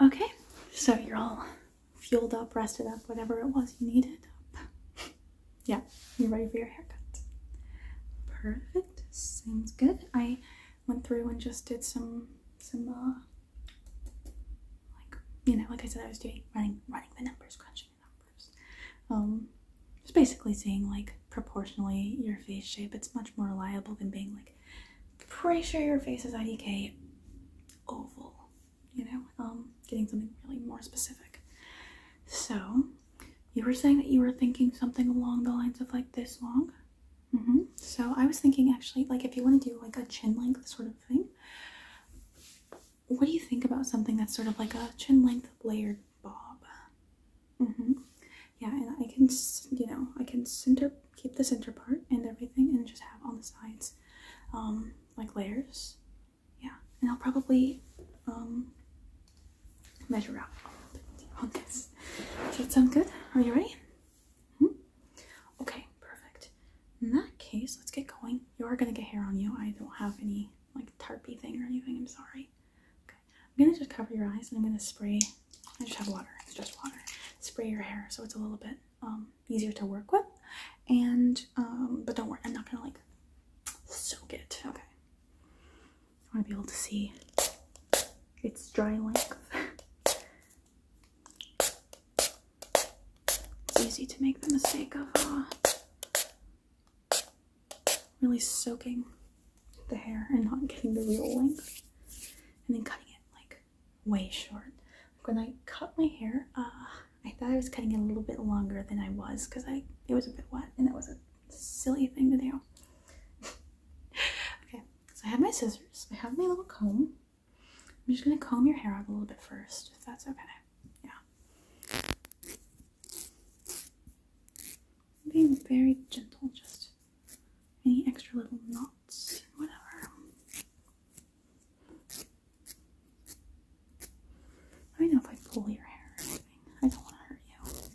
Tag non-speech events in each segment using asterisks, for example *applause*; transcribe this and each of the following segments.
Okay, so you're all fueled up, rested up, whatever it was you needed up. *laughs* yeah, you're ready for your haircut. Perfect, sounds good. I went through and just did some, some, uh, like, you know, like I said, I was doing running, running the numbers, crunching the numbers. Um, just basically seeing like proportionally your face shape. It's much more reliable than being like pretty sure your face is IDK oval, you know, um, getting something really more specific. So you were saying that you were thinking something along the lines of like this long. Mm -hmm. So I was thinking actually, like if you want to do like a chin length sort of thing, what do you think about something that's sort of like a chin length layered bob? Mm -hmm yeah, and I can, you know, I can center, keep the center part and everything and just have on the sides, um, like layers. Yeah, and I'll probably, um, measure out on Does that sound good? Are you ready? -hmm. Okay, perfect. In that case, let's get going. You are gonna get hair on you. I don't have any, like, tarpy thing or anything, I'm sorry. I'm gonna just cover your eyes and I'm gonna spray. I just have water. It's just water. Spray your hair so it's a little bit um, easier to work with. And um, but don't worry, I'm not gonna like soak it. Okay. I want to be able to see its dry length. it's easy to make the mistake of uh, really soaking the hair and not getting the real length and then cutting it like way short. when I cut my hair, uh, I thought I was cutting it a little bit longer than I was because I it was a bit wet and that was a silly thing to do. *laughs* okay, so I have my scissors, I have my little comb. I'm just gonna comb your hair out a little bit first, if that's okay. Yeah being very gentle, just any extra little knots, whatever. I know if I pull your hair or anything, I don't want to hurt you.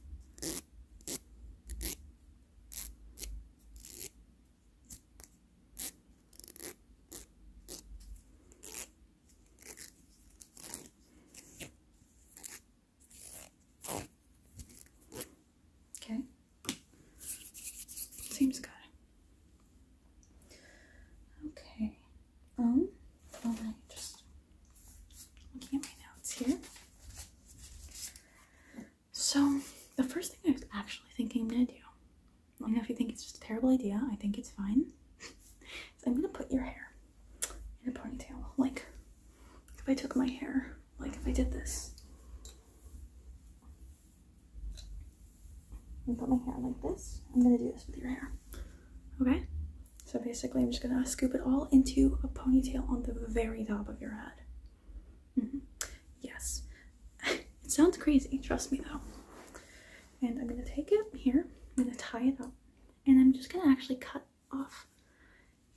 Okay. Seems good. Okay. Um, well, I just looking at my notes here. So, the first thing I was actually thinking I'm gonna do, I don't know if you think it's just a terrible idea, I think it's fine. *laughs* I'm gonna put your hair in a ponytail. Like if I took my hair, like if I did this and put my hair like this, I'm gonna do this with your hair. Okay? So basically I'm just gonna scoop it all into a ponytail on the very top of your head. Mm-hmm. Yes. *laughs* it sounds crazy, trust me though. And I'm gonna take it here, I'm gonna tie it up and I'm just gonna actually cut off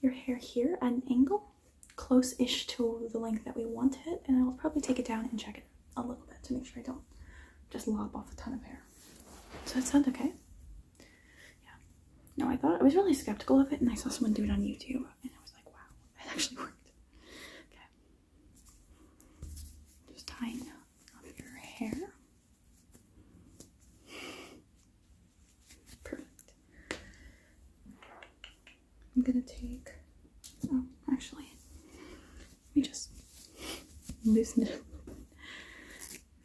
your hair here at an angle close-ish to the length that we want it and I'll probably take it down and check it a little bit to make sure I don't just lob off a ton of hair. So that sounds okay? Yeah. No, I thought I was really skeptical of it and I saw someone do it on YouTube and I was like, wow, *laughs* it actually worked. Okay. Just tying your hair. Perfect. I'm gonna take. Oh, actually, let me just loosen it.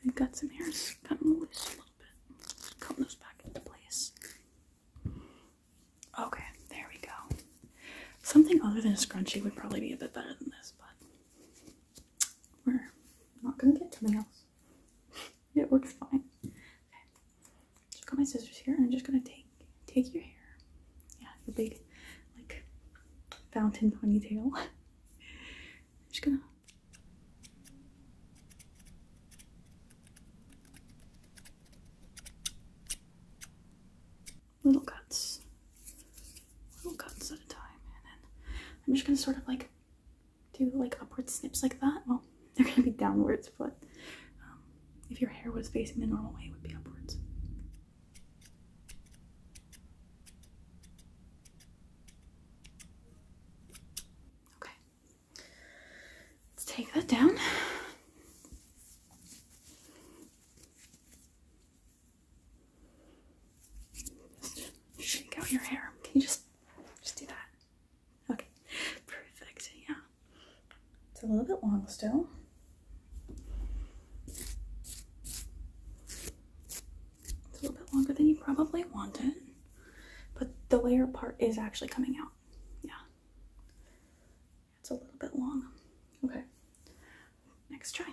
i got some hairs kind of loose a little bit. Just those back into place. Okay, there we go. Something other than a scrunchie would probably be a bit better than this, but we're not gonna get something else. *laughs* it works fine. Okay. So I've got my scissors here and I'm just gonna take take your hair. Yeah, the big like fountain ponytail. *laughs* I'm just gonna little cuts, little cuts at a time, and then I'm just gonna sort of like do like upward snips like that. Well, *laughs* they're gonna be downwards, but um, if your hair was facing the normal way, it would be upwards. Okay, let's take that down shake out your hair. Can you just just do that? Okay. Perfect. Yeah. It's a little bit long still. It's a little bit longer than you probably wanted, but the layer part is actually coming out. Yeah. It's a little bit long. Okay. Next try.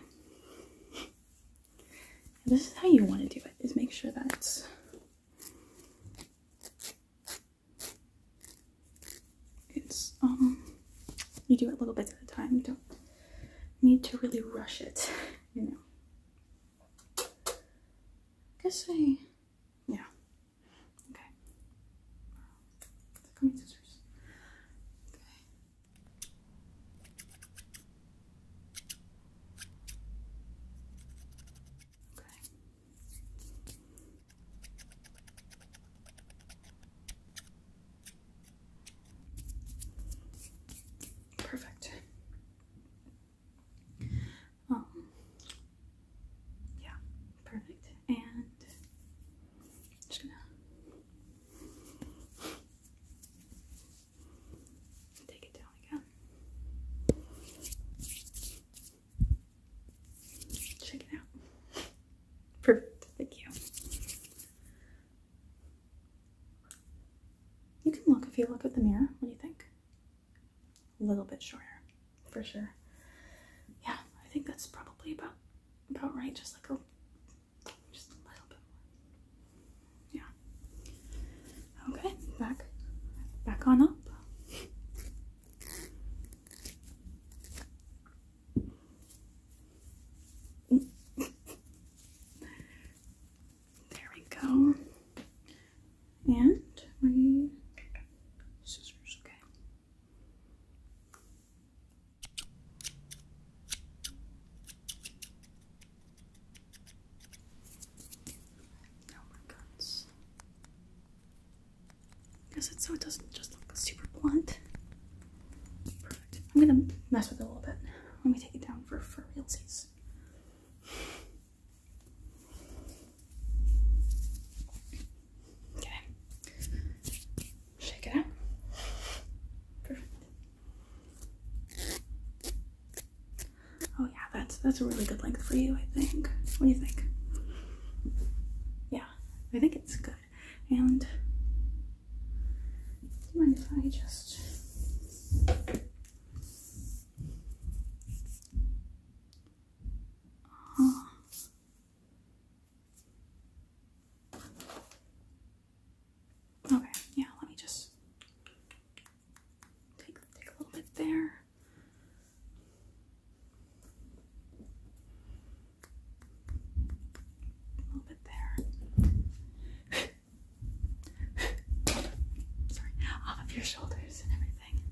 this is how you want to do it, is make sure that it's it's um you do it little bits at a time. You don't need to really rush it, *laughs* you know. I guess I yeah. Okay. Come on, scissors. Okay. Perfect. Um, yeah, perfect. And just gonna take it down again. Check it out. Perfect, thank you. You can look if you look at the mirror. What do you think? A little bit shorter for sure. Yeah, I think that's probably about about right. Just like a just a little bit more. Yeah. Okay, back back on up. there we go. And we scissors, okay. No more guns. Because it's so it doesn't just look super blunt. Perfect. I'm gonna mess with it a little bit. Let me take it down for for realsies. Okay. Shake it out. Perfect. Oh yeah, that's that's a really good length for you, I think. What do you think? Yeah, I think it's good. And do you mind if I just uh-huh. Okay, yeah, let me just take a little bit there. A little bit there. *laughs* Sorry, off of your shoulders and everything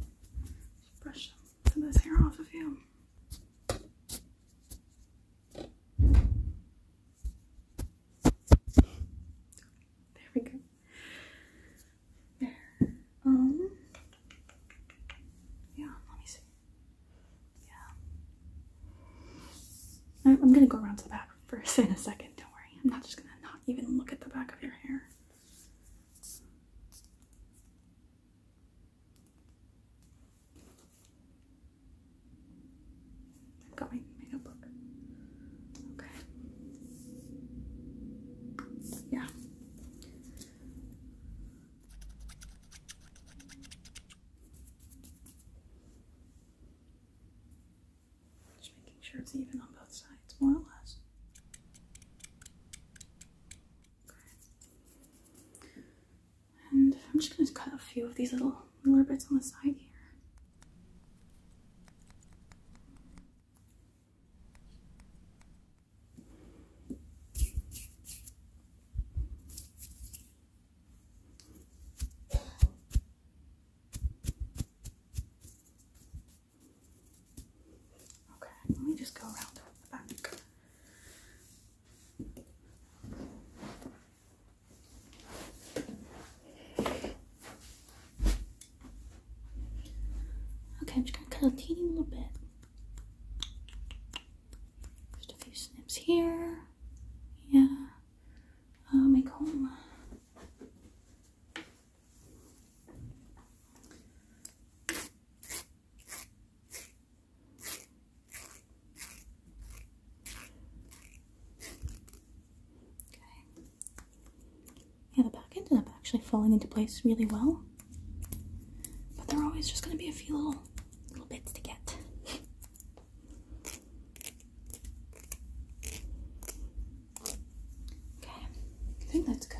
brush some of this hair off of you. There we go. There. Um. Yeah. Let me see. Yeah. I'm gonna go around to the back first *laughs* in a second. Don't worry. I'm not just gonna not even look at the back of your hair. I've got my notebook. Okay. Yeah. Just making sure it's even on both sides, more or less. Okay. And I'm just going to cut a few of these little, little bits on the side here. Okay, let me just go around the back. Okay, I'm just gonna cut a teeny little bit. Just a few snips here. Yeah. Uh, make home. Yeah, the back ended up actually falling into place really well. But there are always just going to be a few little, little bits to get. *laughs* Okay, I think that's good.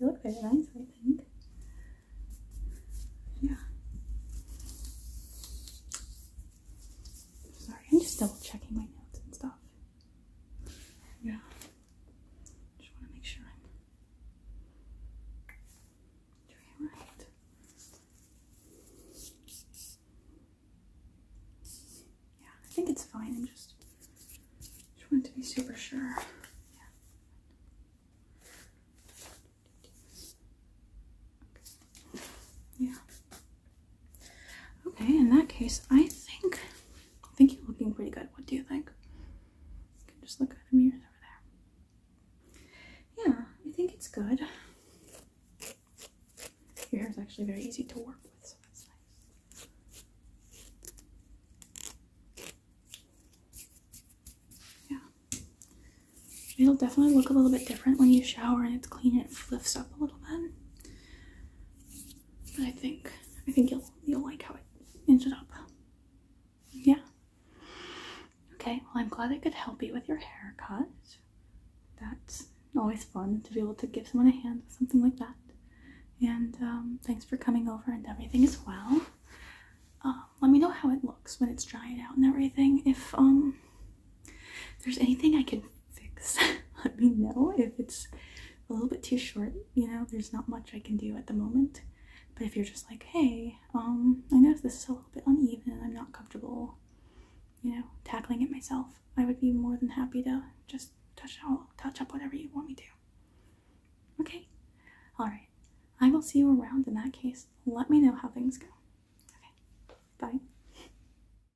You look very nice, I think. Yeah. Sorry, I'm just double checking my notes and stuff. Yeah. Just want to make sure I'm doing it right. Yeah, I think it's fine. I'm just just want to be super sure. Yeah. Okay. in that case, I think I think you're looking pretty good. What do you think? You can just look at the mirror over there. Yeah, I think it's good. Your hair is actually very easy to work with, so that's nice. Yeah. It'll definitely look a little bit different when you shower and it's clean it flips up a little bit. I think I think you'll you'll like how it ended up. Yeah. Okay, well I'm glad I could help you with your haircut. That's always fun to be able to give someone a hand with something like that. And um, thanks for coming over and everything as well. Um, let me know how it looks when it's drying out and everything. If um, there's anything I can fix. *laughs* Let me know if it's a little bit too short. You know, there's not much I can do at the moment. But if you're just like, hey, um, I notice this is a little bit uneven. I'm not comfortable, you know, tackling it myself. I would be more than happy to just touch out, touch up whatever you want me to. Okay. All right. I will see you around in that case. Let me know how things go. Okay. Bye.